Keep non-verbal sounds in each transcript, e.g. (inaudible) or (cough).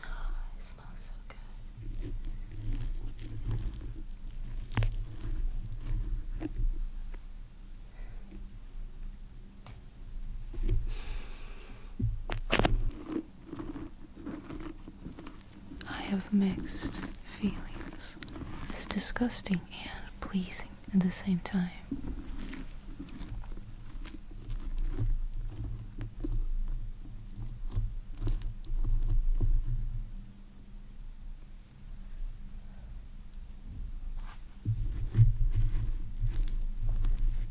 Oh, it smells so good. I have mixed feelings. It's disgusting and pleasing at the same time.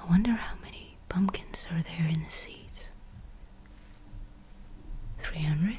I wonder how many pumpkins are there in the seeds. 300?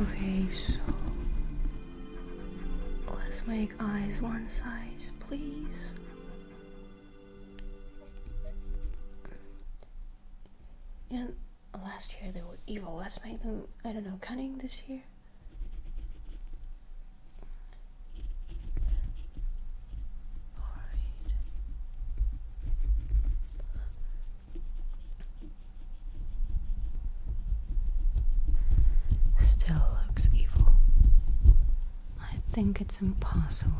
Okay, so let's make eyes one size, please. And last year they were evil. Let's make them, I don't know, cunning this year. Still looks evil. I think it's impossible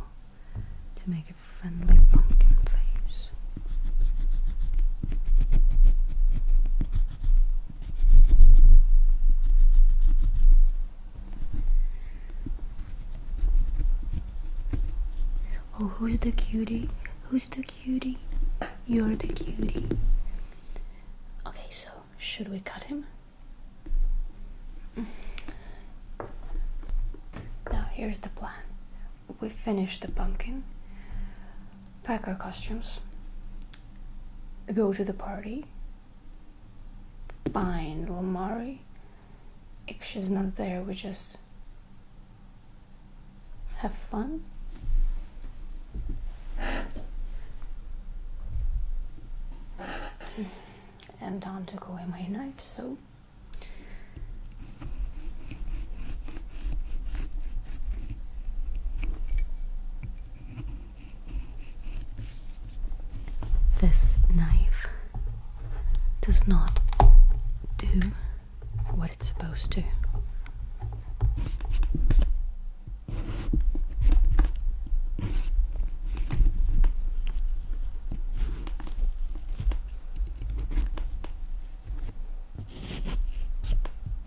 to make a friendly pumpkin face. Oh, who's the cutie? Who's the cutie? You're the cutie. Okay, so should we cut him? Now, here's the plan. We finish the pumpkin, pack our costumes, go to the party, find Lamari. If she's not there, we just have fun. And Tom took away my knife, so this knife does not do what it's supposed to.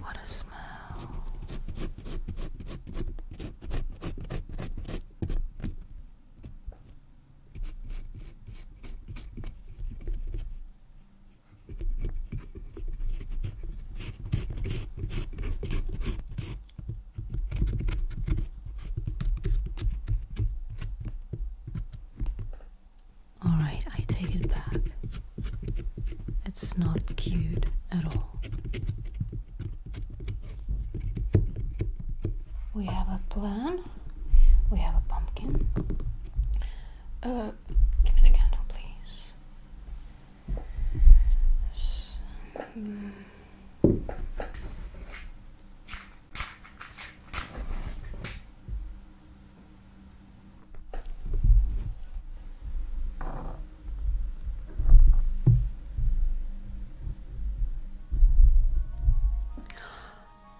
What a smell. All right, I take it back. It's not cute at all. We have a plan. We have a pumpkin. Uh, give me the candle, please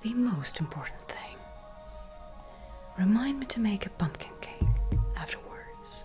the most important thing. Remind me to make a pumpkin cake afterwards.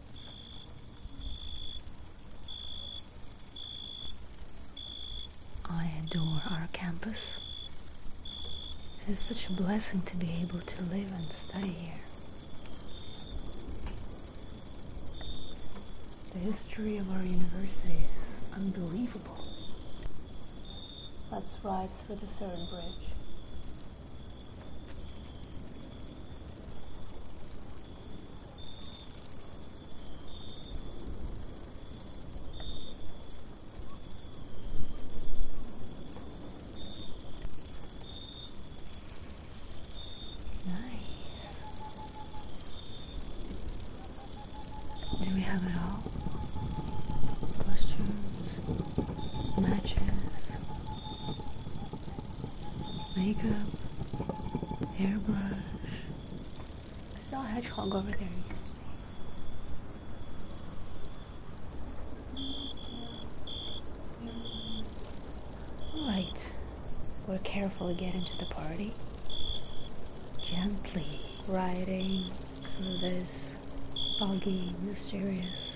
I adore our campus. It is such a blessing to be able to live and study here. The history of our university is unbelievable. Let's ride through the third bridge. Nice. Do we have it all? Costumes, matches, makeup, hairbrush. I saw a hedgehog over there yesterday. Alright, we're careful to get into the party. Gently riding through this foggy, mysterious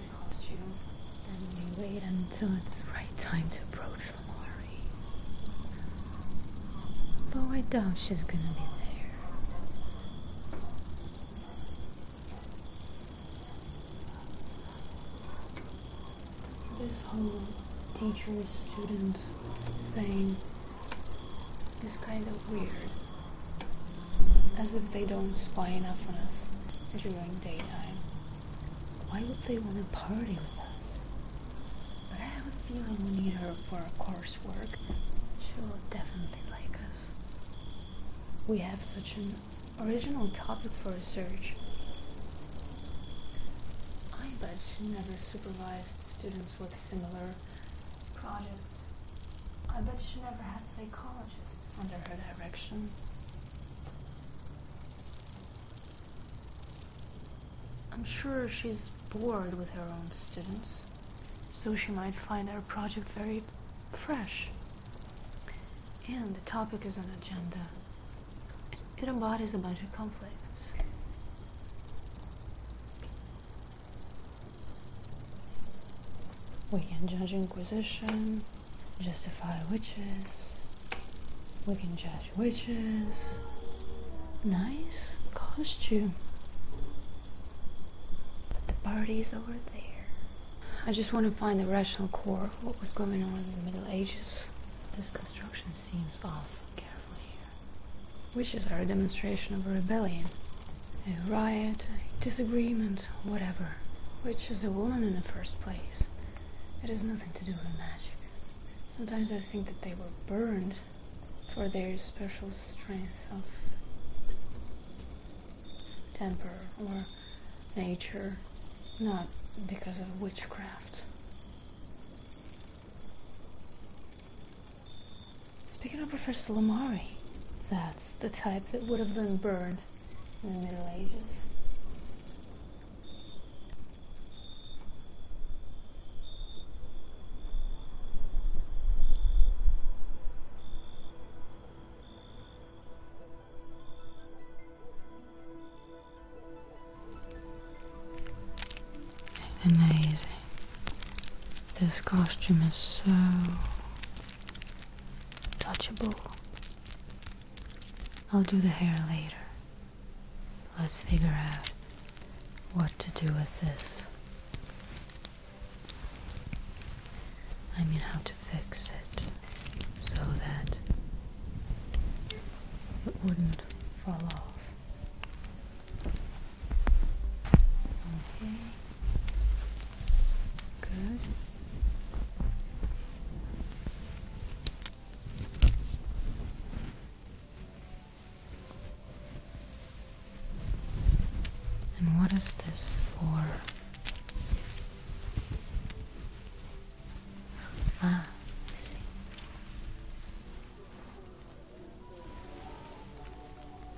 the Then we wait until it's right time to approach Lamari. Though I doubt she's gonna be there. This whole teacher-student thing is kind of weird. As if they don't spy enough on us during daytime why would they want to party with us? But I have a feeling we need her for our coursework. She'll definitely like us. We have such an original topic for research. I bet she never supervised students with similar projects. I bet she never had psychologists under her direction. I'm sure she's bored with her own students, so she might find our project very fresh. And the topic is an agenda. It embodies a bunch of conflicts. We can judge Inquisition, justify witches. We can judge witches. Nice costume. But the party's over there. I just want to find the rational core of what was going on in the Middle Ages. This construction seems off. Careful here. Witches are a demonstration of a rebellion. A riot, a disagreement, whatever which is a woman in the first place. It has nothing to do with magic. Sometimes I think that they were burned for their special strength of temper or nature, not because of witchcraft. Speaking of Professor Lamari, that's the type that would have been burned in the Middle Ages. Amazing. This costume is so touchable. I'll do the hair later. Let's figure out what to do with this. I mean, how to fix it so that it wouldn't fall off. Okay. Good. And what is this for? Ah,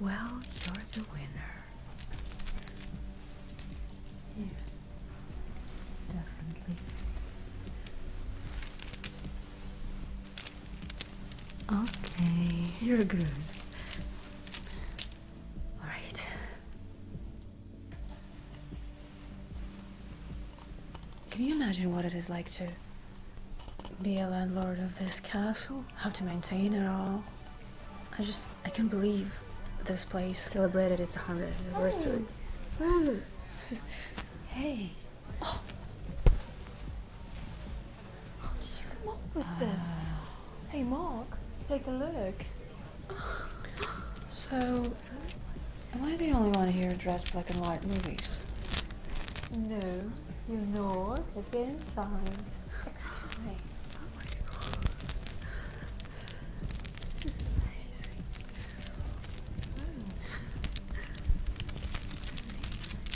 Well, you're the winner. Yeah, definitely. Okay, you're good. All right. Can you imagine what it is like to be a landlord of this castle? How to maintain it all? I just, I can't believe this place celebrated its 100th anniversary. Oh. (laughs) Hey, hey. Oh. did you come up with this? Hey, Mark, take a look. So, am I the only one here dressed black and white movies? No, you're not. Let's get inside. Excuse me. Oh my god. This is amazing.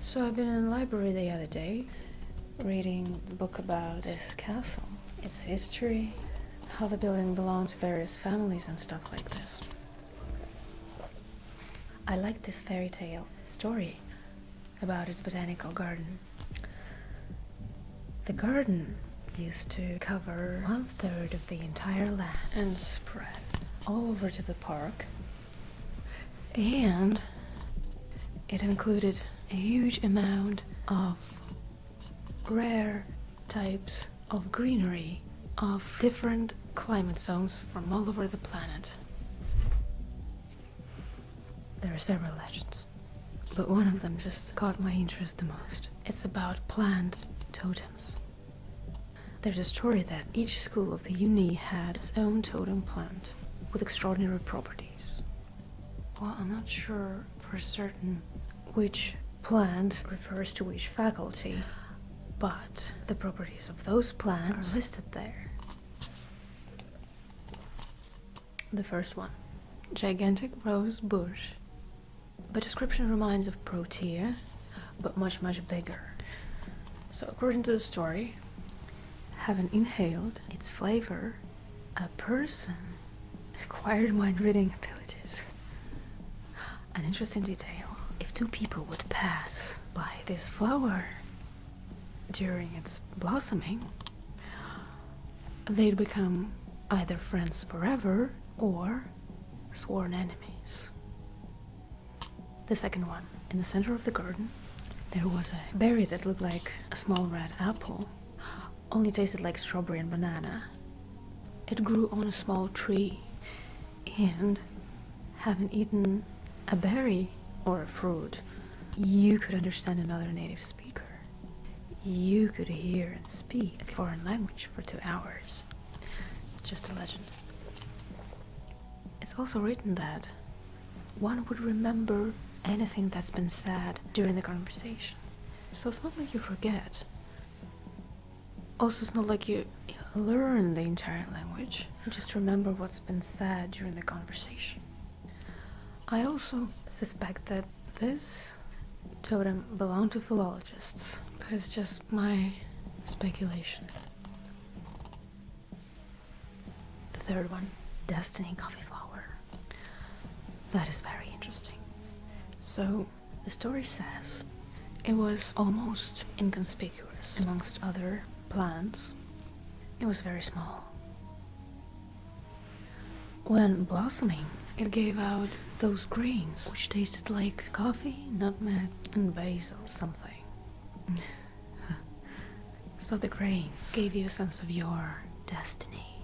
So I've been in the library the other day, reading a book about this castle, its history, how the building belonged to various families and stuff like this. I like this fairy tale story about its botanical garden. The garden used to cover one third of the entire land and spread all over to the park and it included a huge amount of rare types of greenery of different climate zones from all over the planet. There are several legends, but one of them just caught my interest the most. It's about plant totems. There's a story that each school of the uni had its own totem plant with extraordinary properties. Well, I'm not sure for certain which plant refers to which faculty, but the properties of those plants are listed there. The first one gigantic rose bush. The description reminds of Protea, but much, much bigger. So, according to the story, having inhaled its flavor, a person acquired mind reading abilities. An interesting detail if two people would pass by this flower during its blossoming, they'd become either friends forever or sworn enemies. The second one. In the center of the garden, there was a berry that looked like a small red apple, only tasted like strawberry and banana. It grew on a small tree, and having eaten a berry or a fruit, you could understand another native speaker. You could hear and speak a foreign language for two hours. It's just a legend. It's also written that one would remember anything that's been said during the conversation. So it's not like you forget. Also, it's not like you, learn the entire language, you just remember what's been said during the conversation. I also suspect that this totem belonged to philologists, but it's just my speculation. The third one, Destiny Coffee Flower. That is very interesting. So, the story says it was almost inconspicuous amongst other plants. It was very small. When blossoming, it gave out those greens which tasted like coffee, nutmeg, Turnip and basil something. so the grains gave you a sense of your destiny.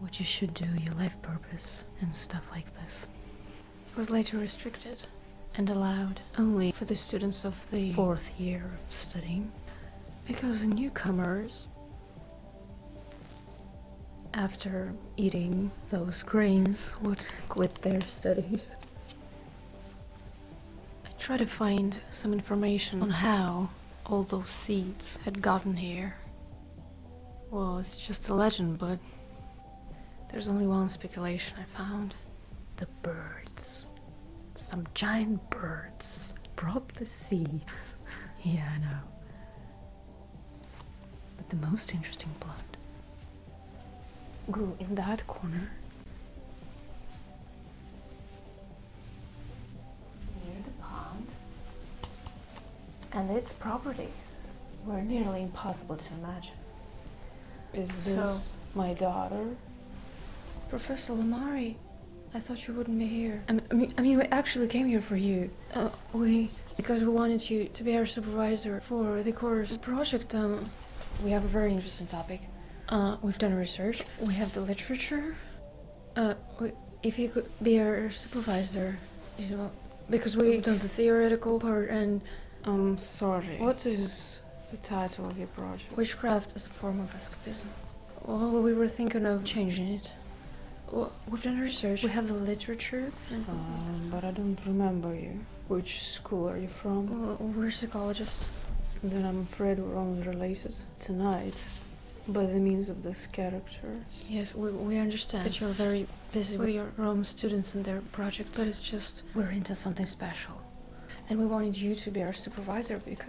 What you should do, your life purpose, and stuff like this. It was later restricted and allowed only for the students of the fourth year of studying because newcomers after eating those grains would quit their studies. I tried to find some information on how all those seeds had gotten here. Well, it's just a legend, but there's only one speculation I found. The birds. Some giant birds brought the seeds. (laughs) yeah, I know. But the most interesting plant grew in that corner near the pond, and its properties were nearly impossible to imagine. Is this my daughter? Professor Lamari, I thought you wouldn't be here. I mean, I mean, we actually came here for you. Oh, we, because we wanted you to be our supervisor for the course project, um, we have a very interesting topic. Uh, we've done research. We have the literature. Uh, if you could be our supervisor, you know, because we've done the theoretical part and. I'm um, sorry. What is the title of your project? Witchcraft is a form of escapism. Well, we were thinking of changing it we've done research. We have the literature. Um, but I don't remember you. Which school are you from? we're psychologists. Then I'm afraid we're only related tonight by the means of this character. Yes, we, we understand that you're very busy with your own students and their projects, but it's just we're into something special. And we wanted you to be our supervisor because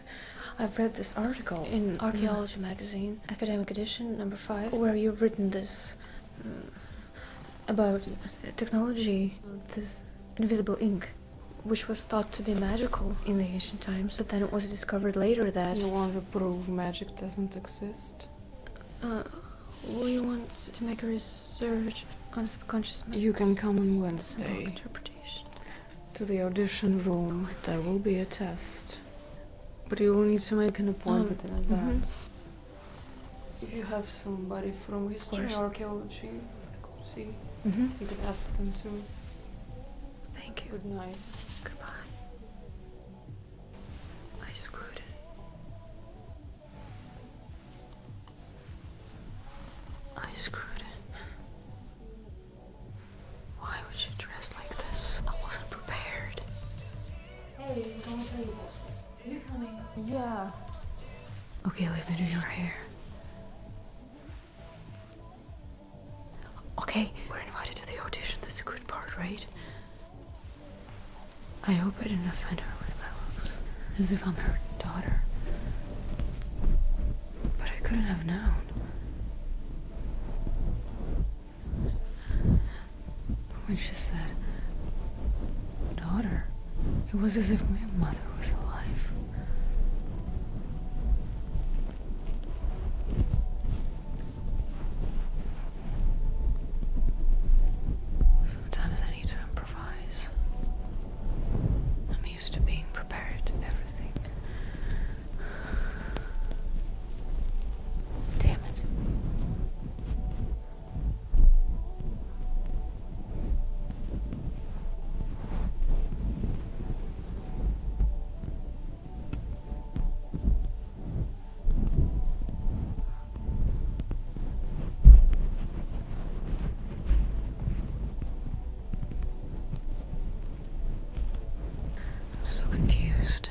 I've read this article in Archaeology mm. magazine academic edition, number 5, where you've written this uh, about technology, this invisible ink, which was thought to be magical in the ancient times, but then it was discovered later that... You want to prove magic doesn't exist? Uh, we want to make a research on subconscious You can come on Wednesday to the audition room. There will be a test. But you will need to make an appointment mm-hmm. in advance. Mm-hmm. If you have somebody from history or archaeology, see, mm -hmm. you can ask them to. Thank you. Good night. Goodbye. I screwed I screwed why was she dressed like this? I wasn't prepared. Hey, don't say bullshit. Are you coming? Yeah. Okay, let me do your hair. Okay, we're invited to the audition. That's a good part, right? I hope I didn't offend her with my looks, as if I'm her daughter. But I couldn't have known. When she said, daughter, it was as if my mother was alive. Sometimes I need to improvise. I'm used to being prepared everything. Damn it. I'm so confused.